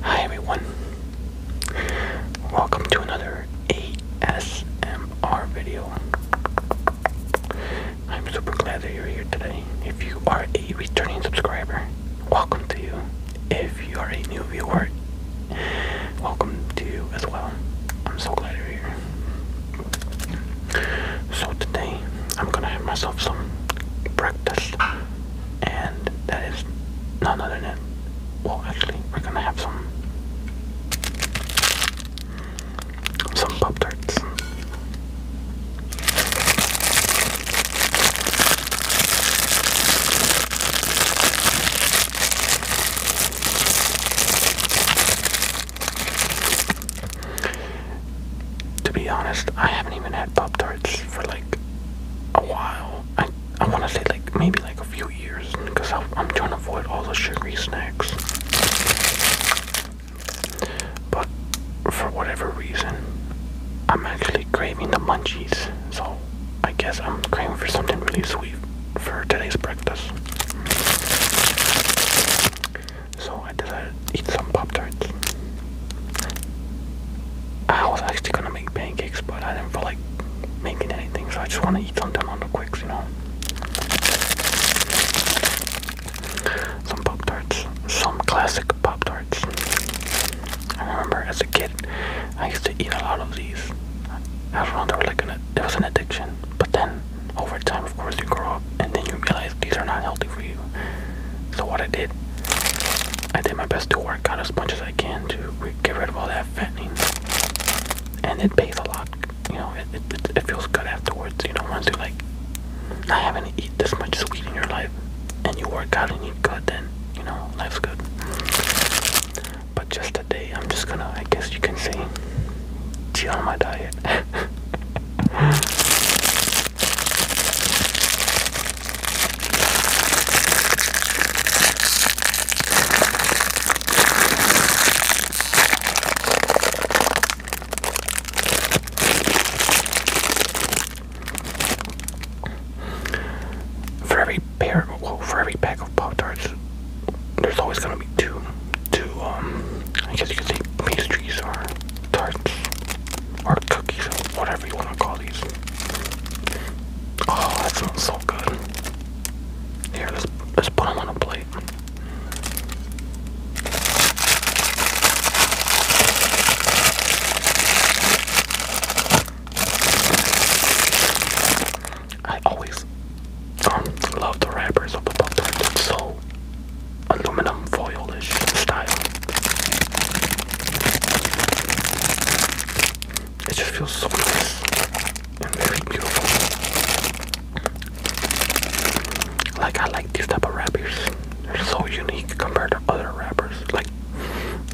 Hi everyone. Welcome to another ASMR video. I'm super glad that you're here today. If you are a returning subscriber, welcome to you. If you are a new viewer, welcome to you as well. I'm so glad you're here. So today I'm gonna have myself some breakfast and that is none other than well actually we're gonna have some some pop tarts to be honest, I haven't even had Pop Tarts for like a while. I I want to say like maybe like a few years because I'm trying to avoid all the sugary snacks. But for whatever reason, I'm actually craving the munchies. So I guess I'm craving for something really sweet for today's breakfast. So I decided to eat some Pop Tarts. I was actually gonna make pancakes, but I didn't feel like making anything, so I just wanna eat something on the quicks, you know. Some Pop Tarts. Some classic Pop Tarts. I remember as a kid, I used to eat a lot of these. I do they were like an, it was an addiction. But then, over time, of course, you grow up and then you realize these are not healthy for you. So what I did, I did my best to work out as much as I can to get rid of all that fattening. And it pays a lot. You know, it, it, it feels good afterwards. You know, once you like I haven't eat this much sweet in your life, and you work out and eat good, then you know life's good. But just today, I'm just gonna, I guess you can say, chill on my diet. For every pair, well, for every pack of Pop Tarts, there's always gonna be two, two, um, I guess you could say pastries or tarts or cookies, whatever you wanna call these. Oh, that sounds so good. Here, let's let's put them on a plate. I always um, love the wrappers of the Pop Tarts. It's so aluminum foilish style. It just feels so nice and very beautiful. Like I like these type of rappers. They're so unique compared to other rappers. Like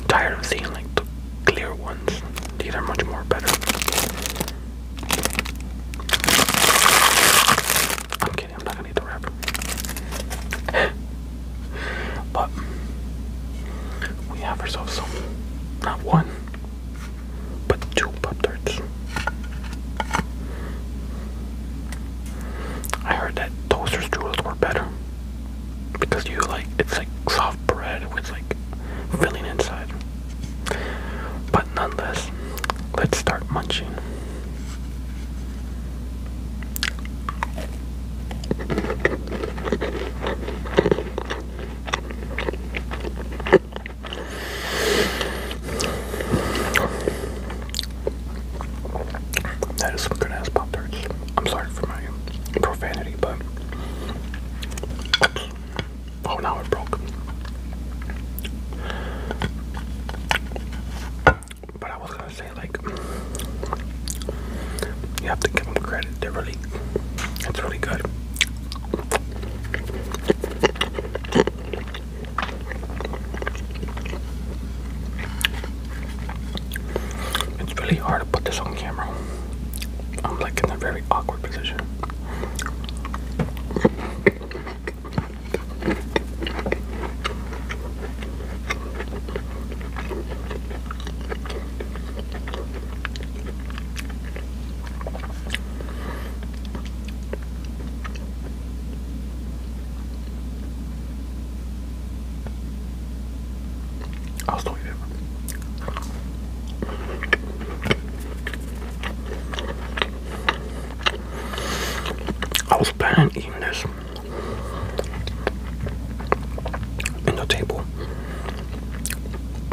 tired of seeing like the clear ones. These are much more better. I'm kidding, I'm not gonna eat the wrapper. but we have ourselves some not one but two pop tarts. I heard that toaster's churros were better because you like it's like soft bread with like filling inside. But nonetheless, let's start munching. That is some good ass Pop Tarts. I'm sorry for my profanity, but. Oh, now it broke. But I was gonna say, like, you have to give them credit. They're really, it's really good. It's really hard to put this on camera. I'm like in a very awkward position. I'll still I was planning on eating this in the table,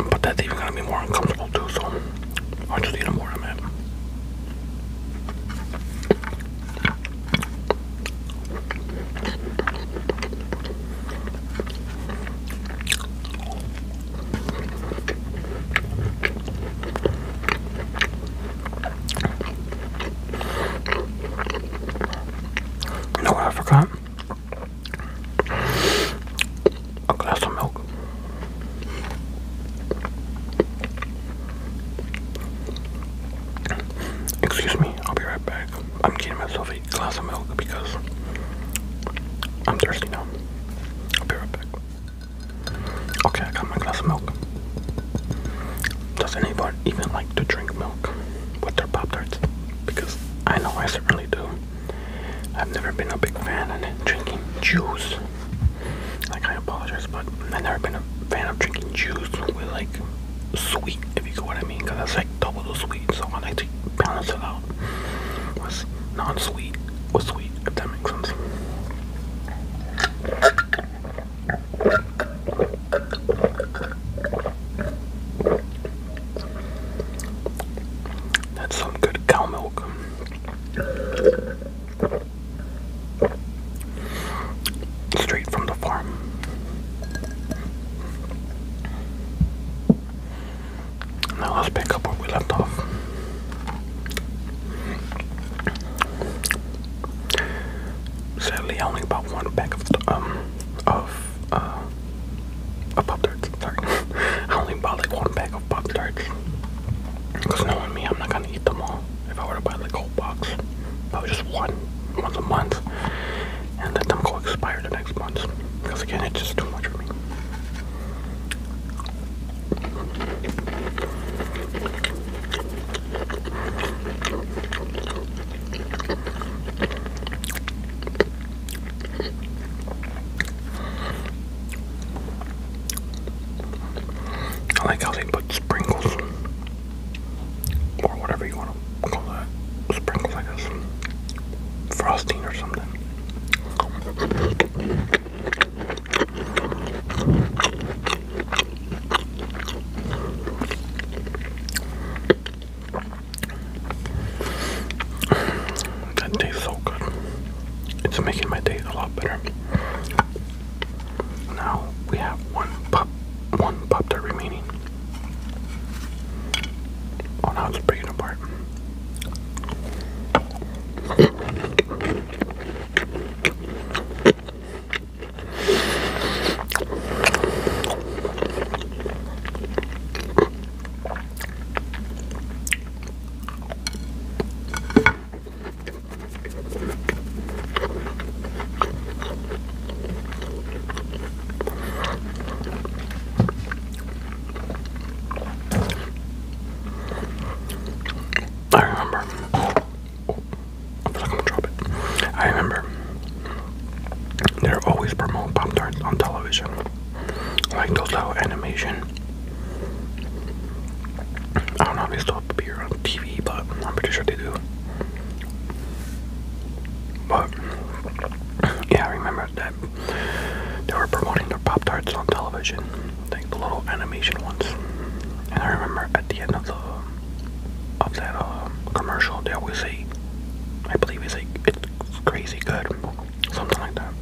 but that's even gonna be more uncomfortable too. So. I'll just need them where I'm at. I forgot? a glass of milk. Excuse me, I'll be right back. I'm getting myself a glass of milk because I'm thirsty now. I'll be right back. Okay, I got my glass of milk. Does anyone even like to drink milk with their Pop Tarts? Because I know I certainly do. I've never been a big fan of drinking juice. Like, I apologize, but I've never been a fan of drinking juice with like sweet, if you know what I mean, because that's like double the sweet. So I like to balance it out with non-sweet or sweet, if that makes sense. That's some good cow milk. Straight from the farm. Now let's pick up where we left off. Sadly, I only bought one pack of um, of uh, of Pop Tarts. Sorry, I only bought like one bag of Pop Tarts. Cause knowing me, I'm not gonna eat them all. If I were to buy like a whole box, probably just one once a month, and let them go expire the next month. Cause again, it's just too much for me. I like how they put sprinkles or whatever you want to call that. Sprinkles, I guess. Frosting or something. That tastes so good. It's making my day a lot better. Now we have one pop, one pop remaining. Oh, now it's breaking apart. I remember. I I'm gonna drop it. I remember. They're always promoting Pop Tarts on television. I like those little animation. I don't know if they still appear on TV, but I'm pretty sure they do. But yeah, I remember that they were promoting their Pop Tarts on television, I think the little animation ones. And I remember at the end of the of that uh, commercial, they always say, "I believe it's like it's crazy good." something like that.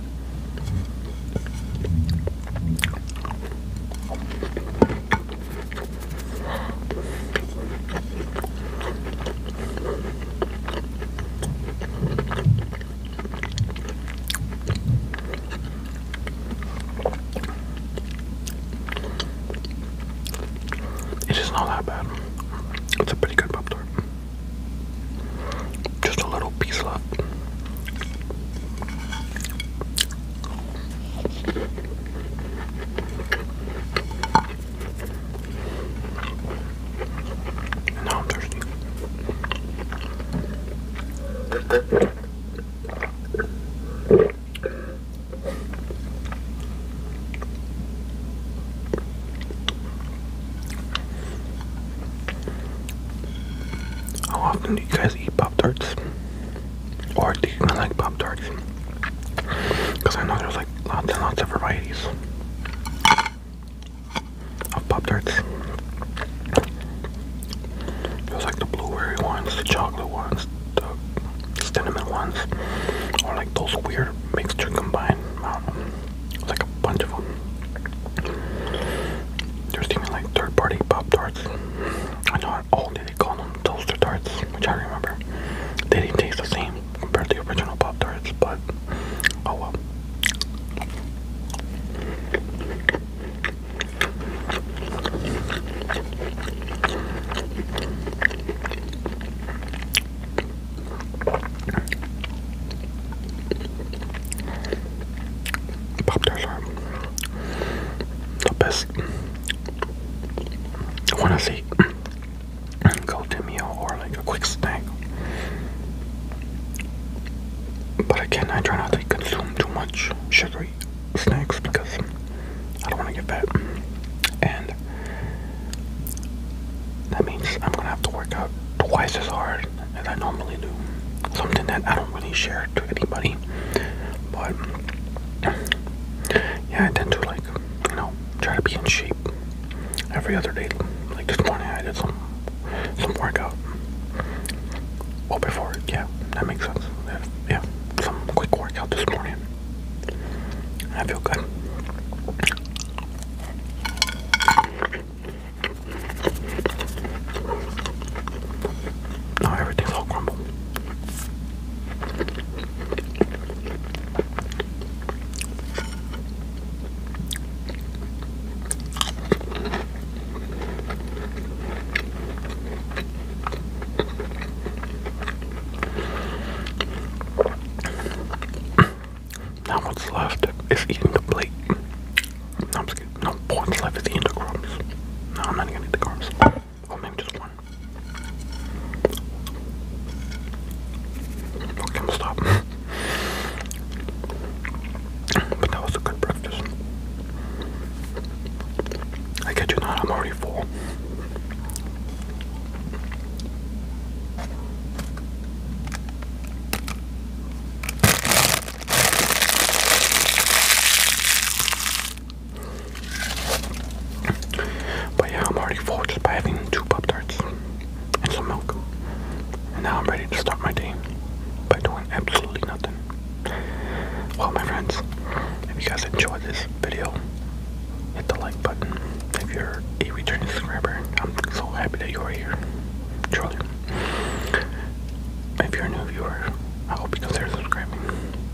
It is not that bad. It's a pretty good pop just a little piece left. And I'm thirsty. How often do you guys eat Pop Tarts? Or do you like Pop Tarts? Because I know there's like lots and lots of varieties of Pop Tarts. There's like the blueberry ones, the chocolate ones, the cinnamon ones, or like those weird mixture combined like a bunch of them. They're even like third party Pop Tarts. I know at Aldi they call them toaster tarts, which I remember. They didn't taste the same compared to the original Pop Tarts, but oh well. Pop tarts are the best. I want to say go-to meal or like a quick snack. But again, I try not to consume too much sugary snacks because I don't want to get fat. And that means I'm gonna have to work out twice as hard as I normally do. Something that I don't really share to anybody. But yeah, I tend to like, you know, try to be in shape every other day. Like this morning I did some some workout. Oh, before yeah, that makes sense. Yeah, some quick workout this morning. I feel good. Now everything's all crumbled. Now what's left is eating the plate. No, I'm just kidding. No, what's left is eating the crumbs. No, I'm not gonna eat the crumbs. Oh, maybe just one. Okay, I'm stop. but that was a good breakfast. I get you not, I'm already full. But yeah, I'm already full just by having two Pop Tarts and some milk. And now I'm ready to start my day by doing absolutely nothing. Well, my friends, if you guys enjoyed this video, hit the like button if you're a returning subscriber. I'm so happy that you are here, truly. If you're a new viewer, I hope you consider subscribing.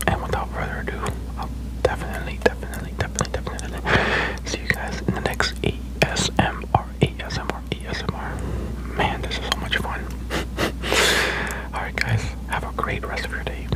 And without further ado, I'll definitely, definitely, definitely, definitely see you guys in the next ASMR, ASMR, ASMR. Man, this is so much fun. Alright, guys, have a great rest of your day.